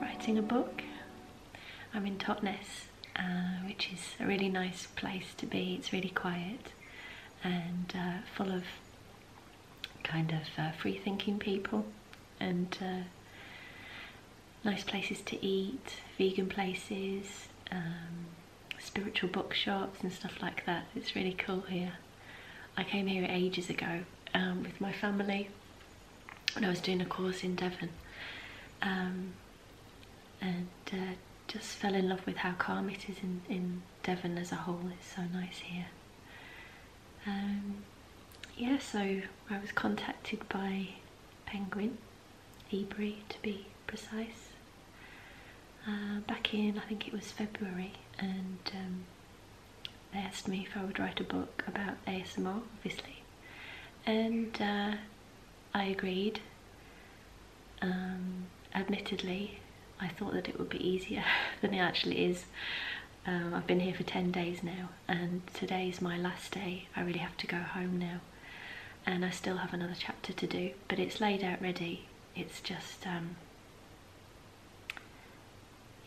writing a book. I'm in Totnes, uh, which is a really nice place to be. It's really quiet and uh, full of kind of uh, free thinking people and uh, nice places to eat, vegan places, um, spiritual bookshops and stuff like that. It's really cool here. I came here ages ago um, with my family when I was doing a course in Devon um, and uh, just fell in love with how calm it is in Devon as a whole. It's so nice here. Um, yeah, so I was contacted by Penguin, Ebury to be precise, uh, back in I think it was February, and um, they asked me if I would write a book about ASMR, obviously, and uh, I agreed. Um, admittedly, I thought that it would be easier than it actually is. Um, I've been here for 10 days now and today is my last day. I really have to go home now and I still have another chapter to do but it's laid out ready. It's just, um,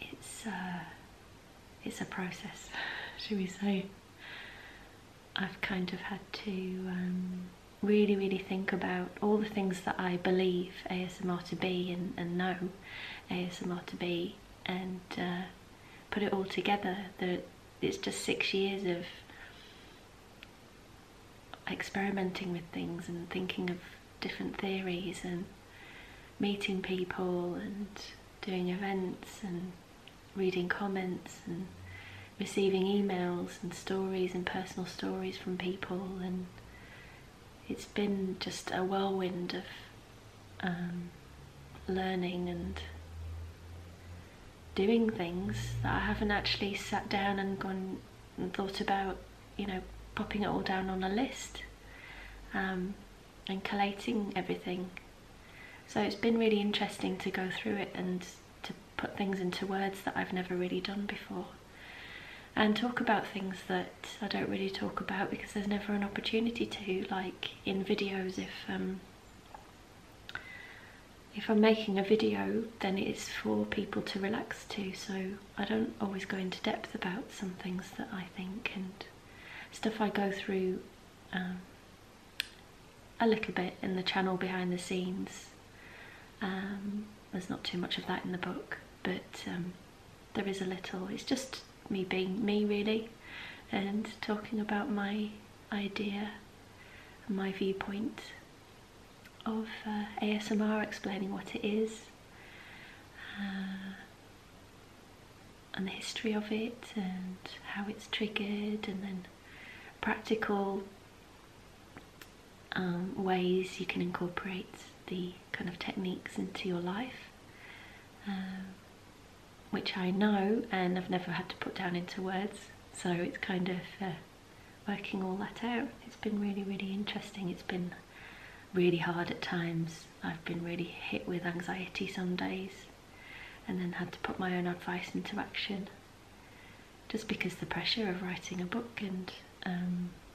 it's, uh, it's a process, should we say. I've kind of had to um, really, really think about all the things that I believe ASMR to be and, know ASMR to be and uh, put it all together. That it's just six years of experimenting with things and thinking of different theories and meeting people and doing events and reading comments and receiving emails and stories and personal stories from people and it's been just a whirlwind of um, learning and doing things that I haven't actually sat down and gone and thought about, you know, popping it all down on a list um, and collating everything. So it's been really interesting to go through it and to put things into words that I've never really done before and talk about things that I don't really talk about because there's never an opportunity to, like in videos if um, if I'm making a video then it's for people to relax to so I don't always go into depth about some things that I think and stuff I go through um, a little bit in the channel behind the scenes um, there's not too much of that in the book, but um, there is a little. It's just me being me, really, and talking about my idea my viewpoint of uh, ASMR, explaining what it is uh, and the history of it, and how it's triggered, and then practical um, ways you can incorporate the kind of techniques into your life, um, which I know and I've never had to put down into words. So it's kind of uh, working all that out. It's been really, really interesting. It's been really hard at times. I've been really hit with anxiety some days and then had to put my own advice into action just because the pressure of writing a book and um,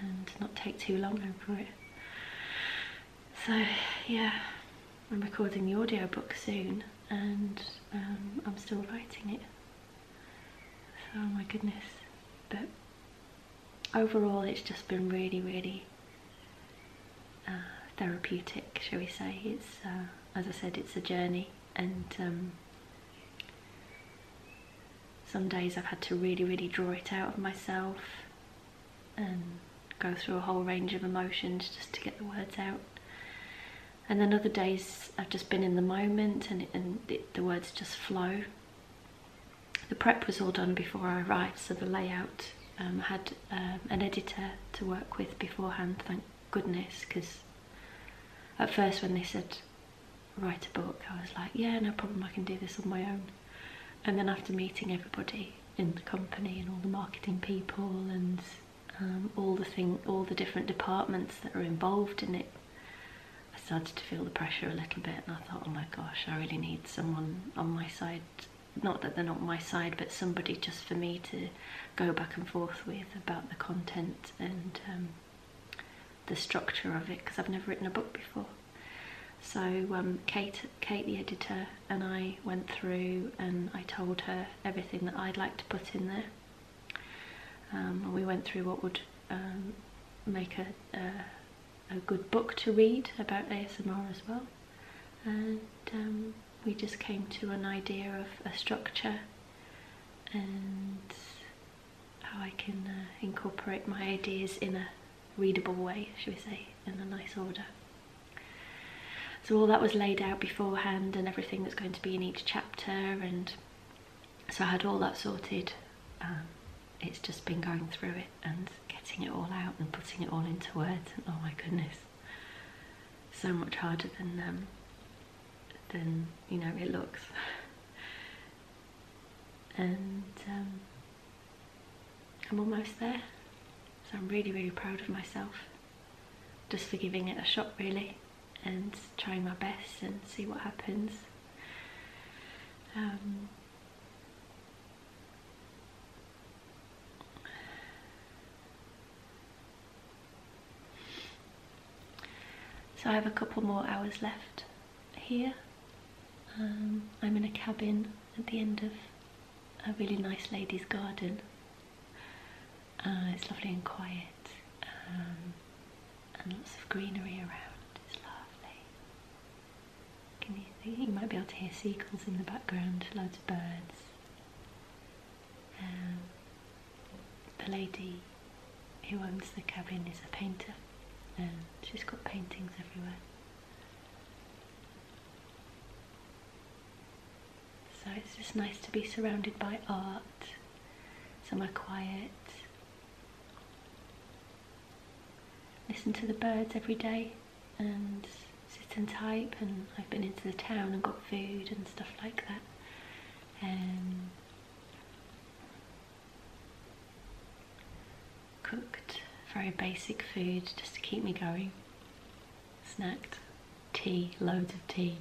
and not take too long for it. So yeah, I'm recording the audiobook soon and um, I'm still writing it. oh my goodness, but overall it's just been really, really uh, therapeutic, shall we say. It's, uh, as I said, it's a journey and um, some days I've had to really, really draw it out of myself and go through a whole range of emotions just to get the words out. And then other days I've just been in the moment and, and the words just flow. The prep was all done before I arrived, so the layout um, had um, an editor to work with beforehand, thank goodness, because at first when they said write a book, I was like, yeah, no problem, I can do this on my own and then after meeting everybody in the company and all the marketing people and um, all the thing, all the different departments that are involved in it, I started to feel the pressure a little bit, and I thought, oh my gosh, I really need someone on my side. Not that they're not my side, but somebody just for me to go back and forth with about the content and um, the structure of it, because I've never written a book before. So um, Kate, Kate the editor and I went through and I told her everything that I'd like to put in there. Um, we went through what would um, make a, good book to read about ASMR as well. And we just came to an idea of a structure and how I can uh, incorporate my ideas in a, readable way, should we say, in a nice order. So all that was laid out beforehand and everything that's going to be in each chapter and so I had all that sorted. Um, it's just been going through it and getting it all out and putting it all into words. And oh my goodness, so much harder than um, than you know it looks. and um, I'm almost there. So I'm really, really proud of myself just for giving it a shot really and trying my best and see what happens. Um, so I have a couple more hours left here. Um, I'm in a cabin at the end of a really nice lady's garden. Uh, it's lovely and quiet um, and lots of greenery around. It's lovely. you might be able to hear seagulls in the background, loads of birds. Um, the lady who owns the cabin is a painter and she's got paintings everywhere. So it's just nice to be surrounded by art, somewhere quiet. Listen to the birds every day and sit and type and I've been into the town and got food and stuff like that. Um, Cooked, very basic food just to keep me going. Snacked, tea, loads of tea.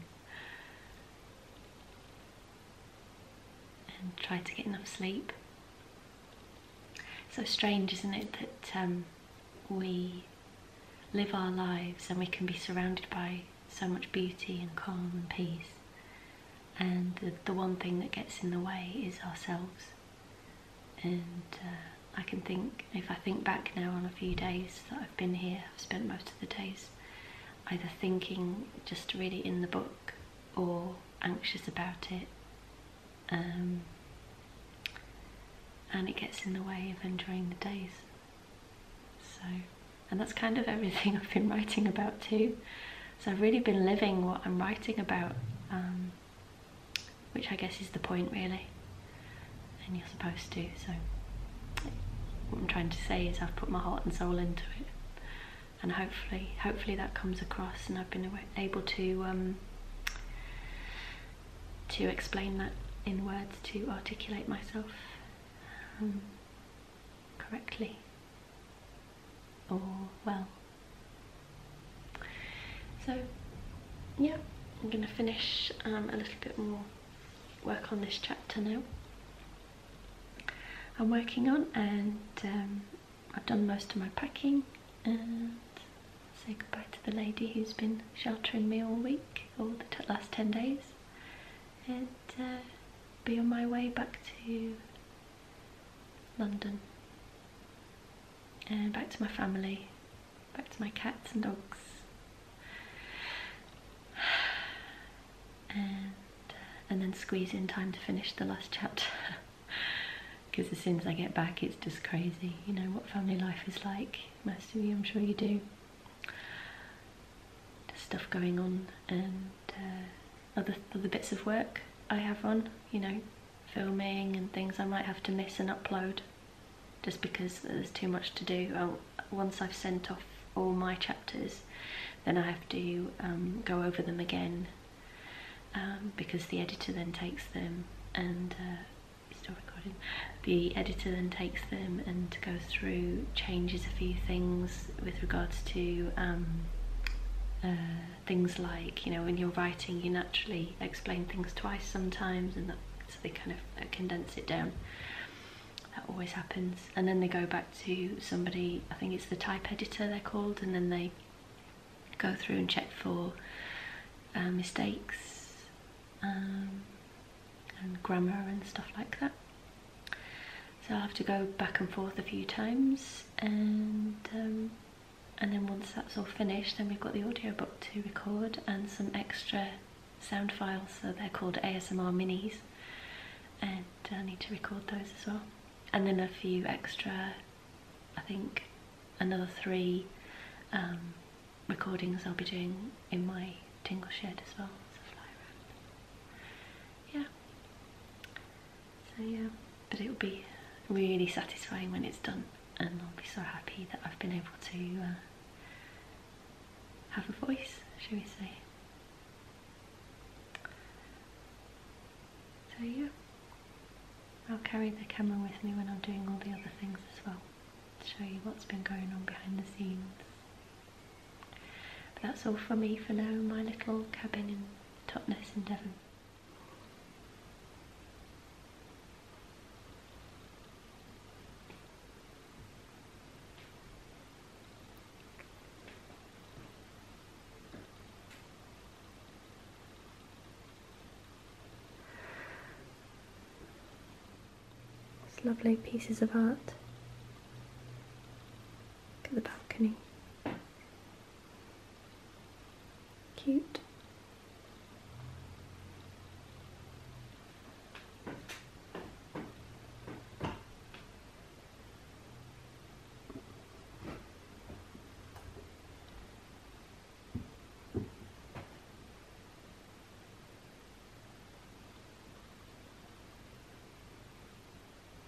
And tried to get enough sleep. So strange, isn't it, that um, we live our lives and we can be surrounded by so much beauty and calm and peace and the, one thing that gets in the way is ourselves. And uh, I can think, if I think back now on a few days that I've been here, I've spent most of the days either thinking just really in the book or anxious about it. Um, and it gets in the way of enjoying the days. So, and that's kind of everything I've been writing about too. So I've really been living what I'm writing about, um, which I guess is the point really, and you're supposed to. So what I'm trying to say is I've put my heart and soul into it, and hopefully, hopefully that comes across, and I've been able to um, to explain that in words to articulate myself um, correctly or oh, well. So yeah, I'm going to finish um, a little bit more work on this chapter now. I'm working on and um, I've done most of my packing and say goodbye to the lady who's been sheltering me all week, all the last 10 days and uh, be on my way back to London, and back to my family, back to my cats and dogs, and uh, and then squeeze in time to finish the last chat Because as soon as I get back, it's just crazy. You know what family life is like. Most of you, I'm sure you do. There's stuff going on, and uh, other, other bits of work I have on, you know, filming and things I might have to miss and upload just because there's too much to do. once I've sent off all my chapters, then I have to um, go over them again um, because the editor then takes them and uh, still recording. The editor then takes them and goes through, changes a few things, with regards to um, uh, things like, you know, when you're writing, you naturally explain things twice sometimes, and so they kind of condense it down. That always happens. And then they go back to somebody, I think it's the type editor they're called, and then they go through and check for uh, mistakes um, and grammar and stuff like that. So i have to go back and forth a few times and um, and then once that's all finished then we've got the audiobook to record and some extra sound files so they're called ASMR minis and I need to record those as well and then a few extra I think another three um, recordings I'll be doing in my tingle shed as well so fly around yeah so yeah, but it'll be really satisfying when it's done and I'll be so happy that I've been able to uh, have a voice, shall we say. So yeah, I'll carry the camera with me when I'm doing all the other things as well to show you what's been going on behind the scenes but that's all for me for now, my little cabin in Totnes in Devon. It's lovely pieces of art. Look at the balcony. Cute.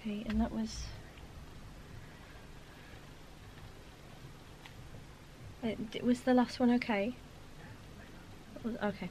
Okay, and that was It, was the last one okay? Okay.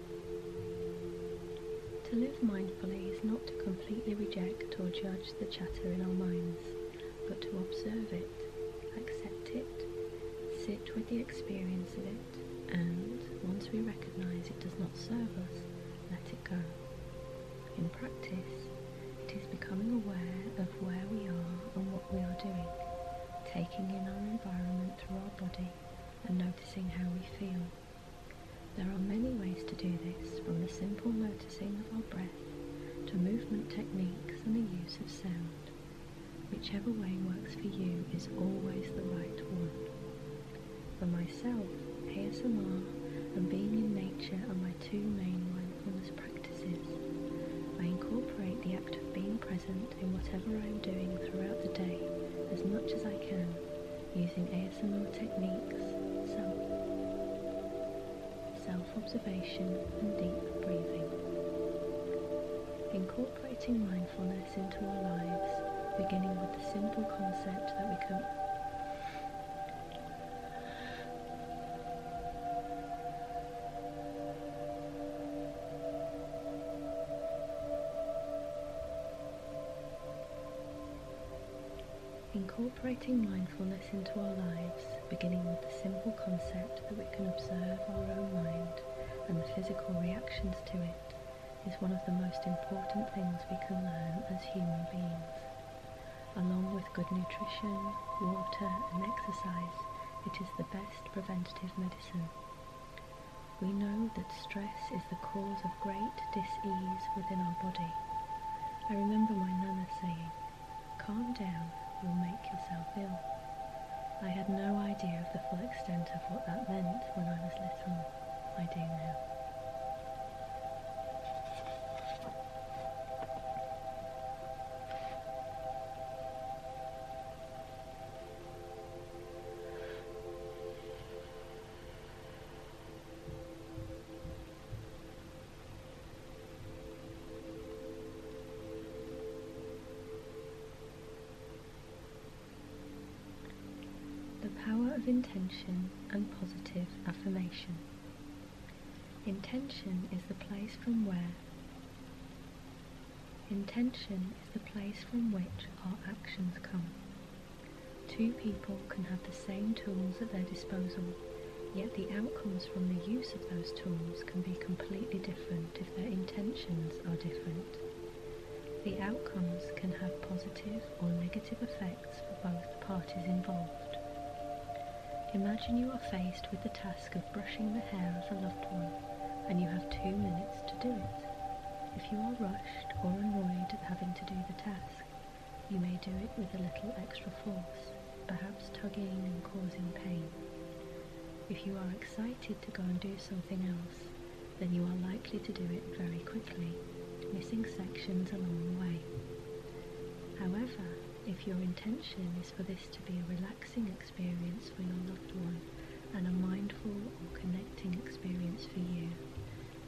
To live mindfully is not to completely reject or judge the chatter in our minds, but to observe it, accept it, sit with the experience of it, and once we recognize it does not serve us, let it go. In practice, it is becoming aware of where we are and what we are doing, taking in our environment through our body and noticing how we feel. There are many ways to do this, from the simple noticing of our breath to movement techniques and the use of sound. Whichever way works for you is always the right one. For myself, ASMR and being in nature are my two main mindfulness practices. I incorporate the act of being present in whatever I am doing throughout the day as much as I can using ASMR techniques, self, observation and deep breathing. Incorporating mindfulness into our lives, beginning with the simple concept that we can Incorporating mindfulness into our lives, beginning with the simple concept that we can observe our own mind and the physical reactions to it, is one of the most important things we can learn as human beings. Along with good nutrition, water and exercise, it is the best preventative medicine. We know that stress is the cause of great disease within our body. I remember my nana saying, calm down, you'll make yourself ill. I had no idea of the full extent of what that meant when I was little. I do now. The power of intention and positive affirmation. Intention is the place from where Intention is the place from which our actions come. Two people can have the same tools at their disposal, yet the outcomes from the use of those tools can be completely different if their intentions are different. The outcomes can have positive or negative effects for both parties involved. Imagine you are faced with the task of brushing the hair of a loved one and you have two minutes to do it. If you are rushed or annoyed at having to do the task, you may do it with a little extra force, perhaps tugging and causing pain. If you are excited to go and do something else, then you are likely to do it very quickly, missing sections along the way. However, if your intention is for this to be a relaxing experience, for your loved one and a mindful or connecting experience for you,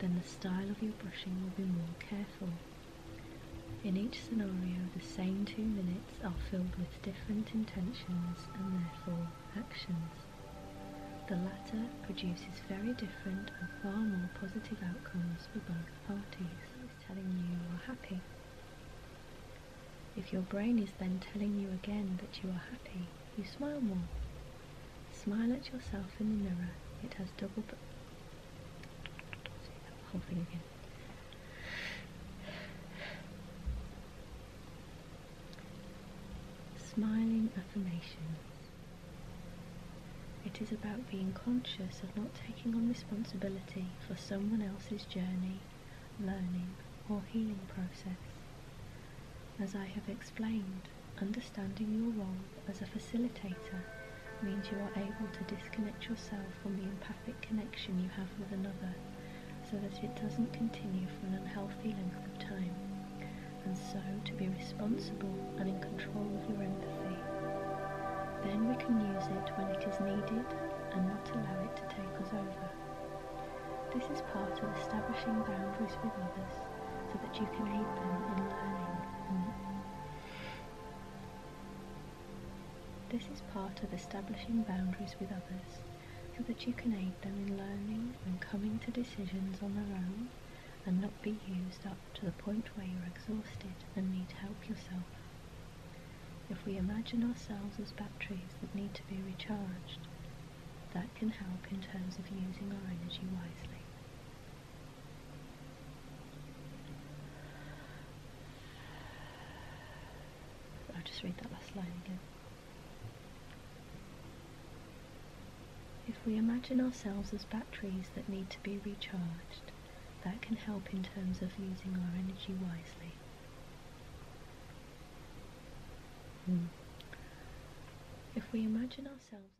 then the style of your brushing will be more careful. In each scenario, the same two minutes are filled with different intentions and therefore actions. The latter produces very different and far more positive outcomes for both parties. telling you you're happy. If your brain is then telling you again that you are happy, you smile more. Smile at yourself in the mirror. It has double. Say that whole thing again. Smiling affirmations. It is about being conscious of not taking on responsibility for someone else's journey learning, or healing process. As I have explained, understanding your role as a facilitator means you are able to disconnect yourself from the empathic connection you have with another so that it doesn't continue for an unhealthy length of time, and so to be responsible and in control of your empathy. Then we can use it when it is needed and not allow it to take us over. This is part of establishing boundaries with others so that you can aid them in learning. This is part of establishing boundaries with others so that you can aid them in learning and coming to decisions on their own and not be used up to the point where you're exhausted and need help yourself. If we imagine ourselves as batteries that need to be recharged, that can help in terms of using our energy wisely. I'll just read that last line again. If we imagine ourselves as batteries that need to be recharged, that can help in terms of using our energy wisely. Hmm. If we imagine ourselves